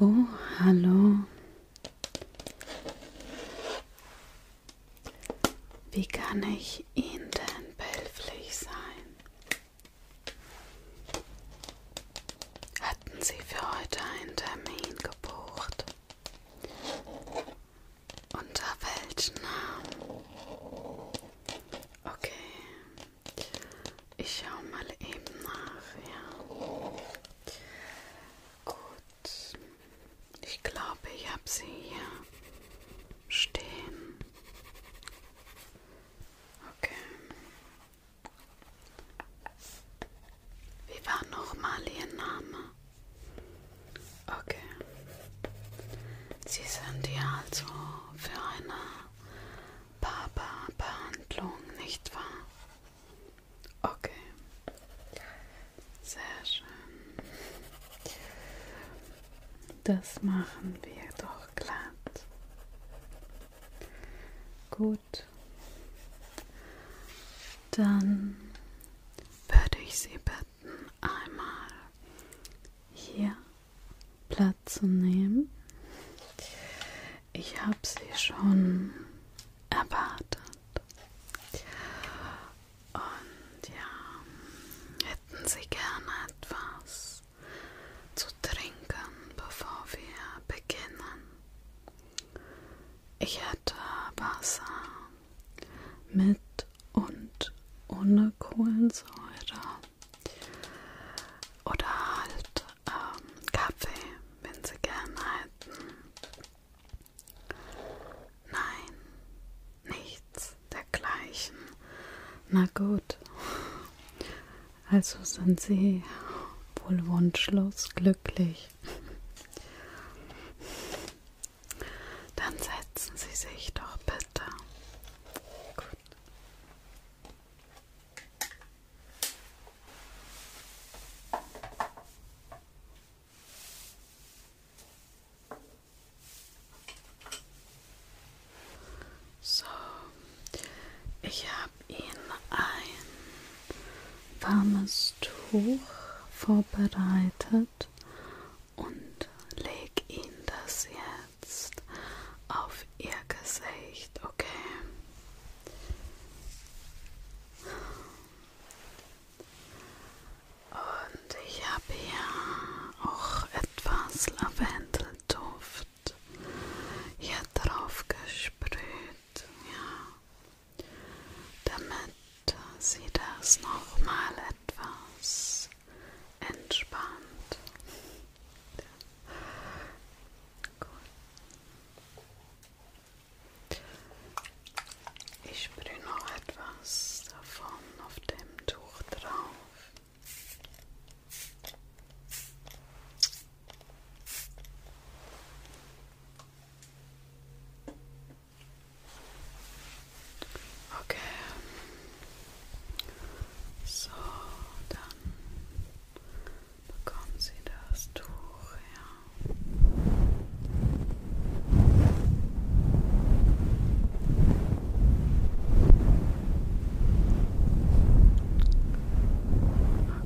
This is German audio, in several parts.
Oh, hallo. Wie kann ich Ihnen denn behilflich sein? Hatten Sie für heute einen Termin gebucht? Unter welchen Namen? Okay. Ich schaue mal eben nach. Ja. Gut. Ich glaube, ich habe sie hier stehen. Okay. Wie war nochmal Ihr Name? Okay. Sie sind ja also für eine Barbarbehandlung, nicht wahr? Okay. Sehr schön. Das machen wir doch glatt. Gut. Dann würde ich Sie bitten, einmal hier Platz zu nehmen. Ich habe sie schon erwartet. Und ja, hätten Sie gerne etwas zu trinken, bevor wir beginnen? Ich hätte Wasser mit und ohne Kohlensäure. Oder halt ähm, Kaffee, wenn sie gern hätten. Nein, nichts dergleichen. Na gut, also sind sie wohl wunschlos glücklich. Dann setzen Sie sich doch bitte. Gut. So, ich habe Ihnen ein warmes Tuch vorbereitet und leg Ihnen das jetzt auf Ihr Gesicht, okay? Und ich habe hier auch etwas Lavendelduft hier drauf gesprüht, ja, damit sie das nochmal etwas entspannt. Gut. Ich sprühe noch etwas davon auf dem Tuch drauf. Okay. So, dann bekommen Sie das Tuch her.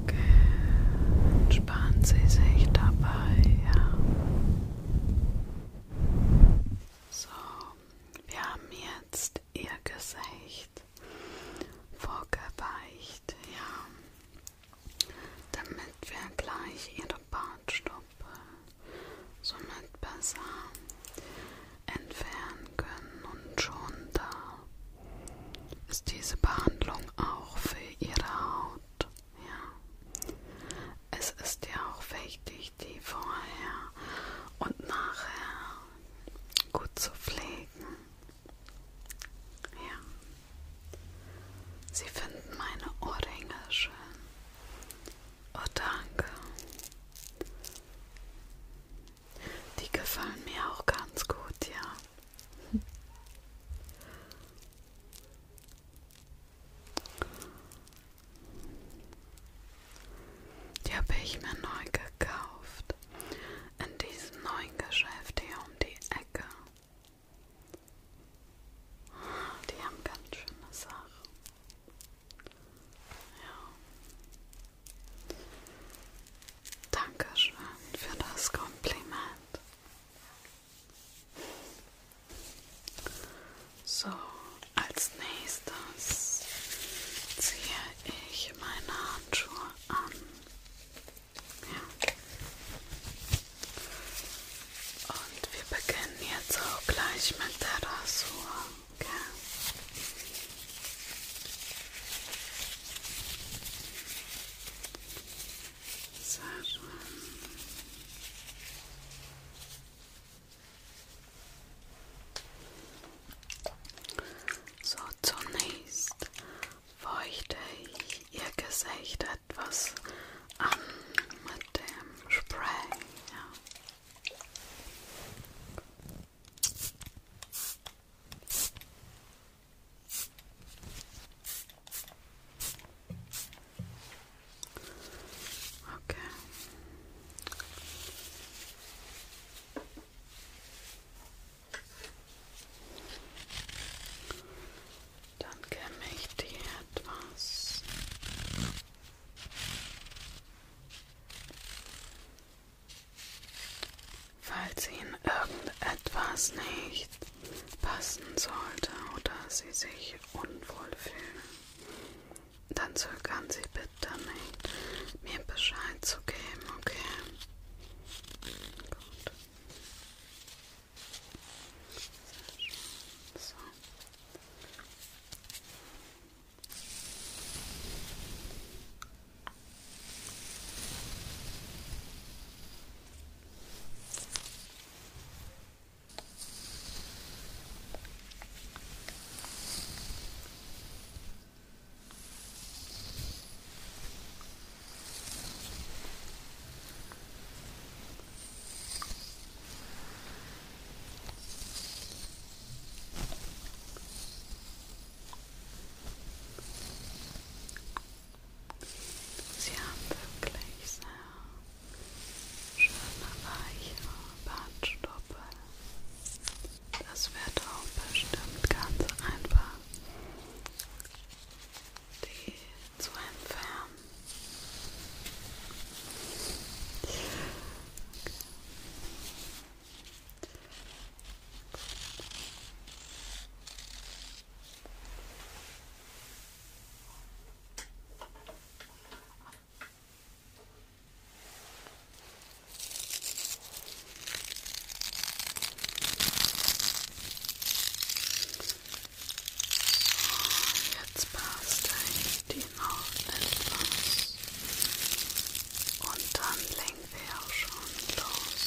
Okay, entspannen Sie sich dabei. Ja. So, wir haben jetzt ist ihr Gesicht vorgeweicht, ja, damit wir gleich ihre Bartstoppe somit besser entfernen können und schon da ist diese Behandlung auch für ihre Haut, ja. Es ist ja auch wichtig, die vorher und nachher gut zu pflegen. Ja. Sie finden meine Ohrringe schön. Oh, danke. Die gefallen mir auch ganz gut, ja. Die habe ich mir neu gekauft. In diesem neuen Geschäft hier um die Ecke. Die haben ganz schöne Sachen. Ja. Dankeschön für das Kompliment. So, als nächstes ziehe ich meine Handschuhe an. Ja. Und wir beginnen jetzt auch gleich mit der Rasur. Okay. Sehr schön. So, zunächst feuchte ich Ihr Gesicht etwas an mit dem Spray. Ja. Okay. Dann kämme ich dir etwas falls Ihnen irgendetwas nicht passen sollte oder Sie sich unwohl fühlen dann zögern Sie bitte nicht, mir Bescheid zu geben, okay? Gut. So. So. Sie haben wirklich sehr schöne weiche Bartstoppel. Das wird auch bestimmt ganz einfach, die zu entfernen. Okay. Jetzt passt eigentlich die Maus etwas. Und dann lenken wir auch schon los.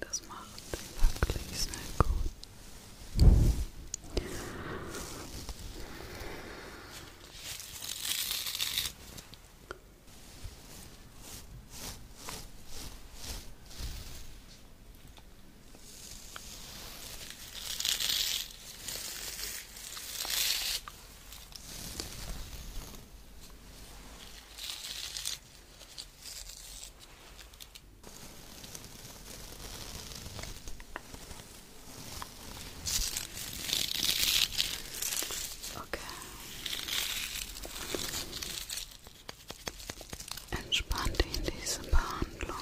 Das macht wirklich sehr gut. Okay. Entspann dich in diese Behandlung.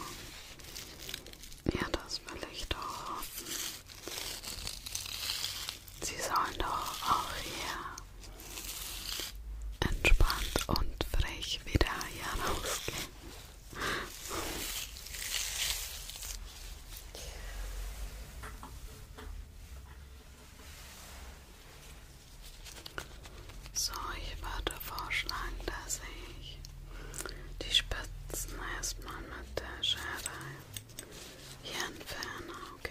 Ja, das will ich doch hoffen. Sie sollen doch auch hier entspannt und frech wieder hier rausgehen. So, ich würde vorschlagen, dass ich die Spitzen erstmal mit der Schere hier entferne, okay?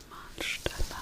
Einmalsteller.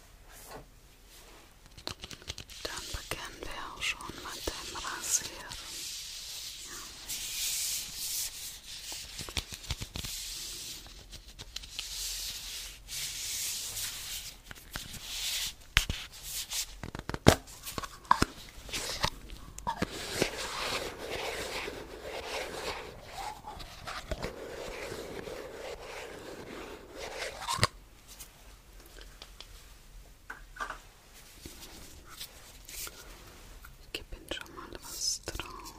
Dann beginnen wir auch schon mit dem Rasieren. Ja. Ich gebe Ihnen schon mal was drauf.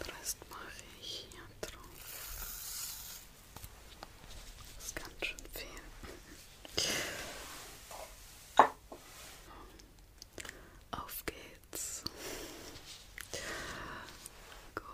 Den Rest mache ich hier drauf. Das ist ganz schön viel. Auf geht's. Gut. Okay.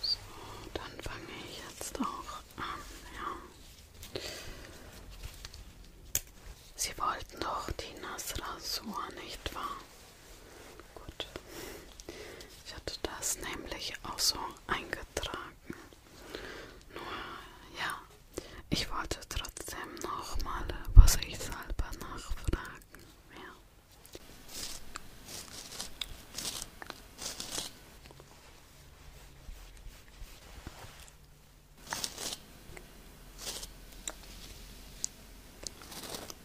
So, dann fange ich jetzt auch an, ja. Sie wollten doch die Nassrasur, nicht wahr? Gut. Ich hatte das nämlich auch so eingetragen. Nur, ja, ich wollte trotzdem nochmal vorsichtshalber nachfragen. Ja.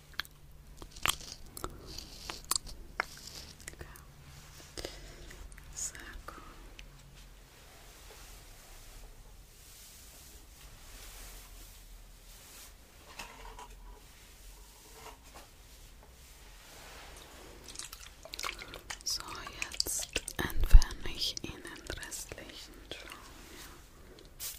Okay. Sehr gut. So, jetzt entferne ich Ihnen restlichen Schaum. Ja.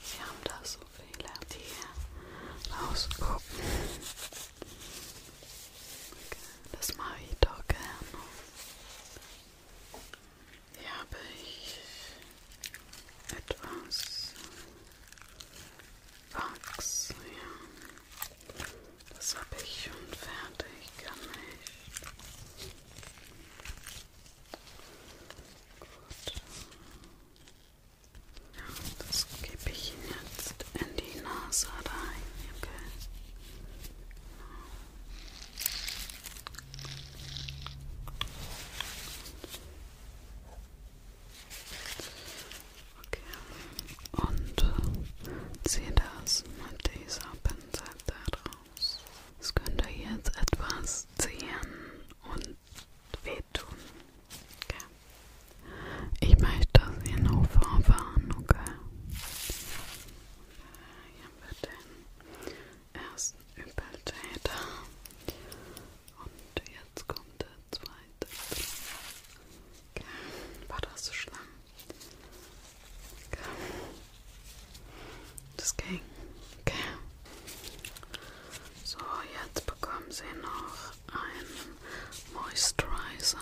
Sie haben da so viele, die rausgucken. Das mache ich doch gerne. Hier habe ich etwas Wachs. Ja. Das habe ich schon fertig gemacht. Gut. Ja, das gebe ich Ihnen jetzt in die Nase rein, okay? Okay, und ziehe das mit dieser Pinsel da drauf aus. Es könnte jetzt etwas ziehen und wehtun. Okay. Ich möchte, dass ihr nur vorfahren, okay? Hier haben wir den ersten Übeltäter. Und jetzt kommt der zweite. Okay. War das so schlimm? Okay. Das ging. Okay. So, jetzt bekommen Sie noch einen Moisturizer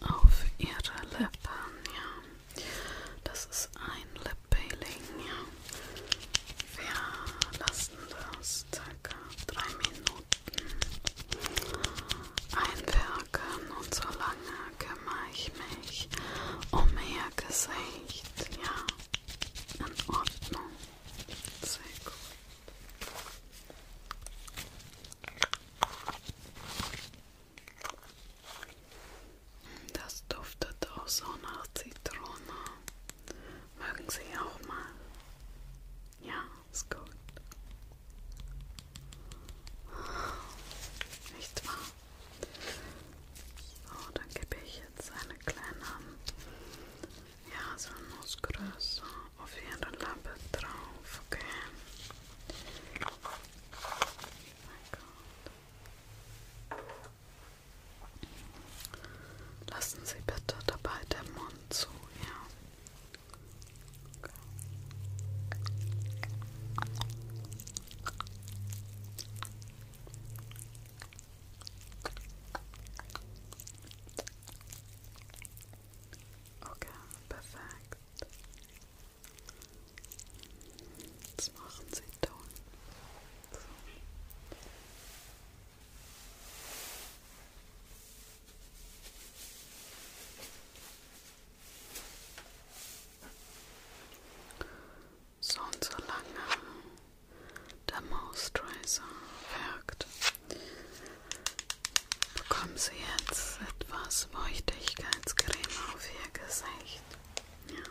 auf Ihre Lippen. Ja. Das ist ein Lip Peeling. Ja. Wir lassen das circa drei Minuten einwirken und solange kümmere ich mich um Ihr Gesicht. Ja in Ordnung. Sehr gut. Das duftet auch so nach Zitrone. Mögen Sie auch mal? Ja, ist gut. Nicht wahr? So, dann gebe ich jetzt eine kleine, ja, so Nussgröße auf ihre Lappe drauf, okay? Oh Lassen Sie bitte dabei den Mund zu, ja. Okay. Okay, perfekt. Jetzt machen Sie Ton. So so und so lange der Moisturizer wirkt, bekommen Sie jetzt etwas Feuchtigkeitscreme auf Ihr Gesicht. Ja.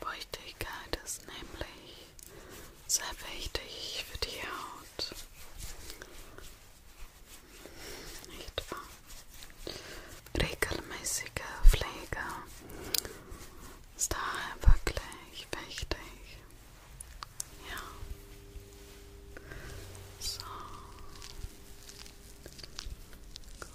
Feuchtigkeit ist nämlich sehr wichtig für die Haut. Nicht wahr? Regelmäßige Pflege ist daher wirklich wichtig. Ja. So. Gut.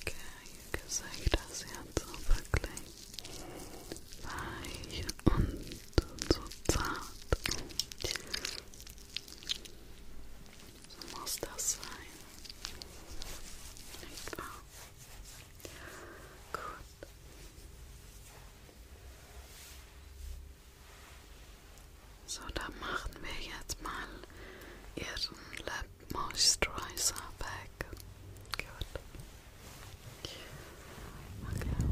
Okay, ihr Gesicht ist jetzt so wirklich weich und so zart. So muss das sein. Nicht wahr? Gut. So, dann machen wir jetzt mal ihren Lip moisturizer back. Good. Okay. Okay.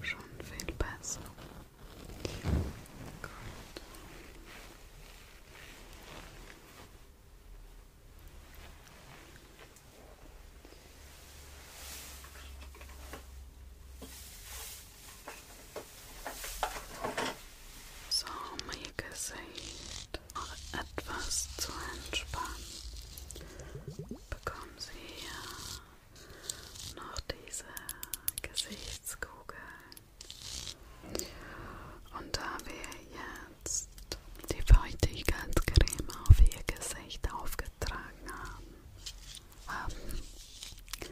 Schon viel besser. Gut. So, mein Gesicht noch etwas zu entspannen bekommen Sie hier noch diese Gesichtskugel. Und da wir jetzt die Feuchtigkeitscreme auf Ihr Gesicht aufgetragen haben, ähm,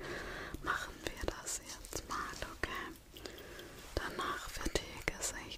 machen wir das jetzt mal, okay? Danach wird Ihr Gesicht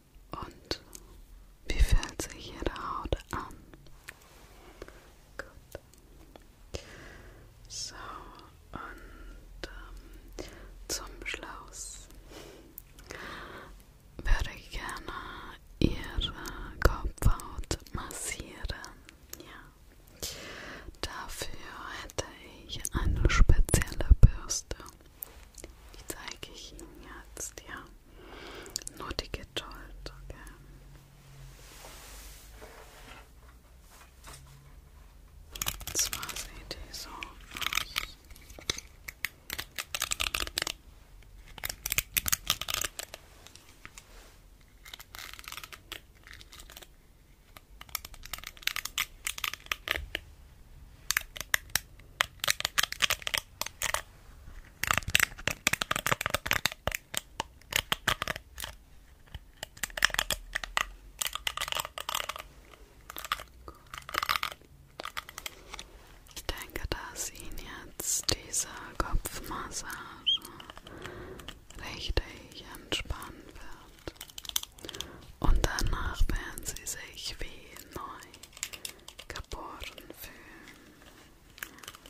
Und wie fühlt sich Ihre Haut an? Gut. So, und ähm, zum Schluss würde ich gerne Ihre Kopfhaut massieren. Ja. Dafür hätte ich eine spezielle Bürste. Die zeige ich Ihnen jetzt, ja. Nur die Geduld, okay. Und zwar sieht die so aus. Ich denke, dass Ihnen jetzt diese Kopfmassage richtig entspannen wird und danach werden sie sich wie neu geboren fühlen. Und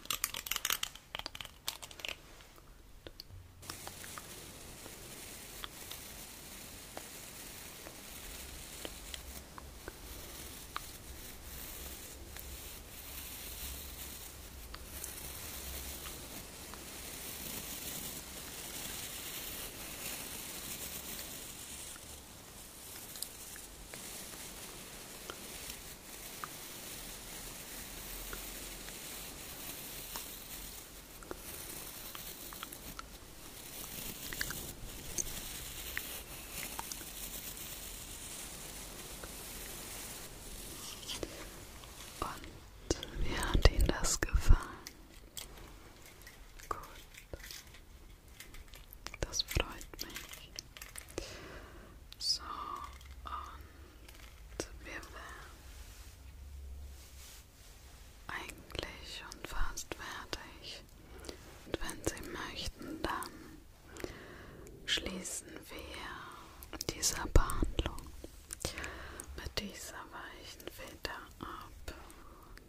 und wie hat Ihnen das gefallen? Gut. Das freut mich. So, und wir wären eigentlich schon fast fertig. Und wenn Sie möchten, dann schließen wir diese Behandlung mit dieser weichen Feder ab.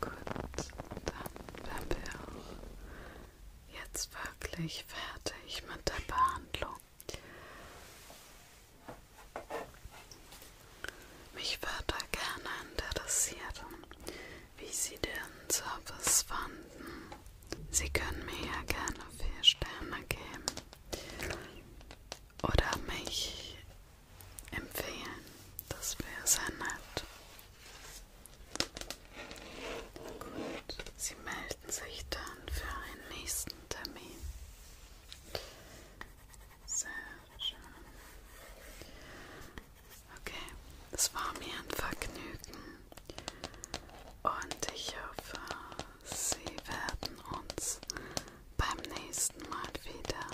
Gut, dann werden wir auch jetzt wirklich fertig mit der Behandlung. Mich würde gerne interessieren, wie Sie den Service fanden. Sie können mir ja gerne vier Sterne geben oder mich empfehlen. Das wäre sehr nett. Gut, Sie melden sich dann für einen nächsten Termin. Sehr schön. Okay, das war mir ein Vergnügen und ich hoffe, Sie werden uns beim nächsten Mal wieder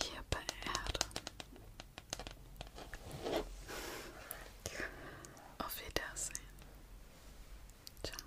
hier beerden. Auf Wiedersehen. Ciao.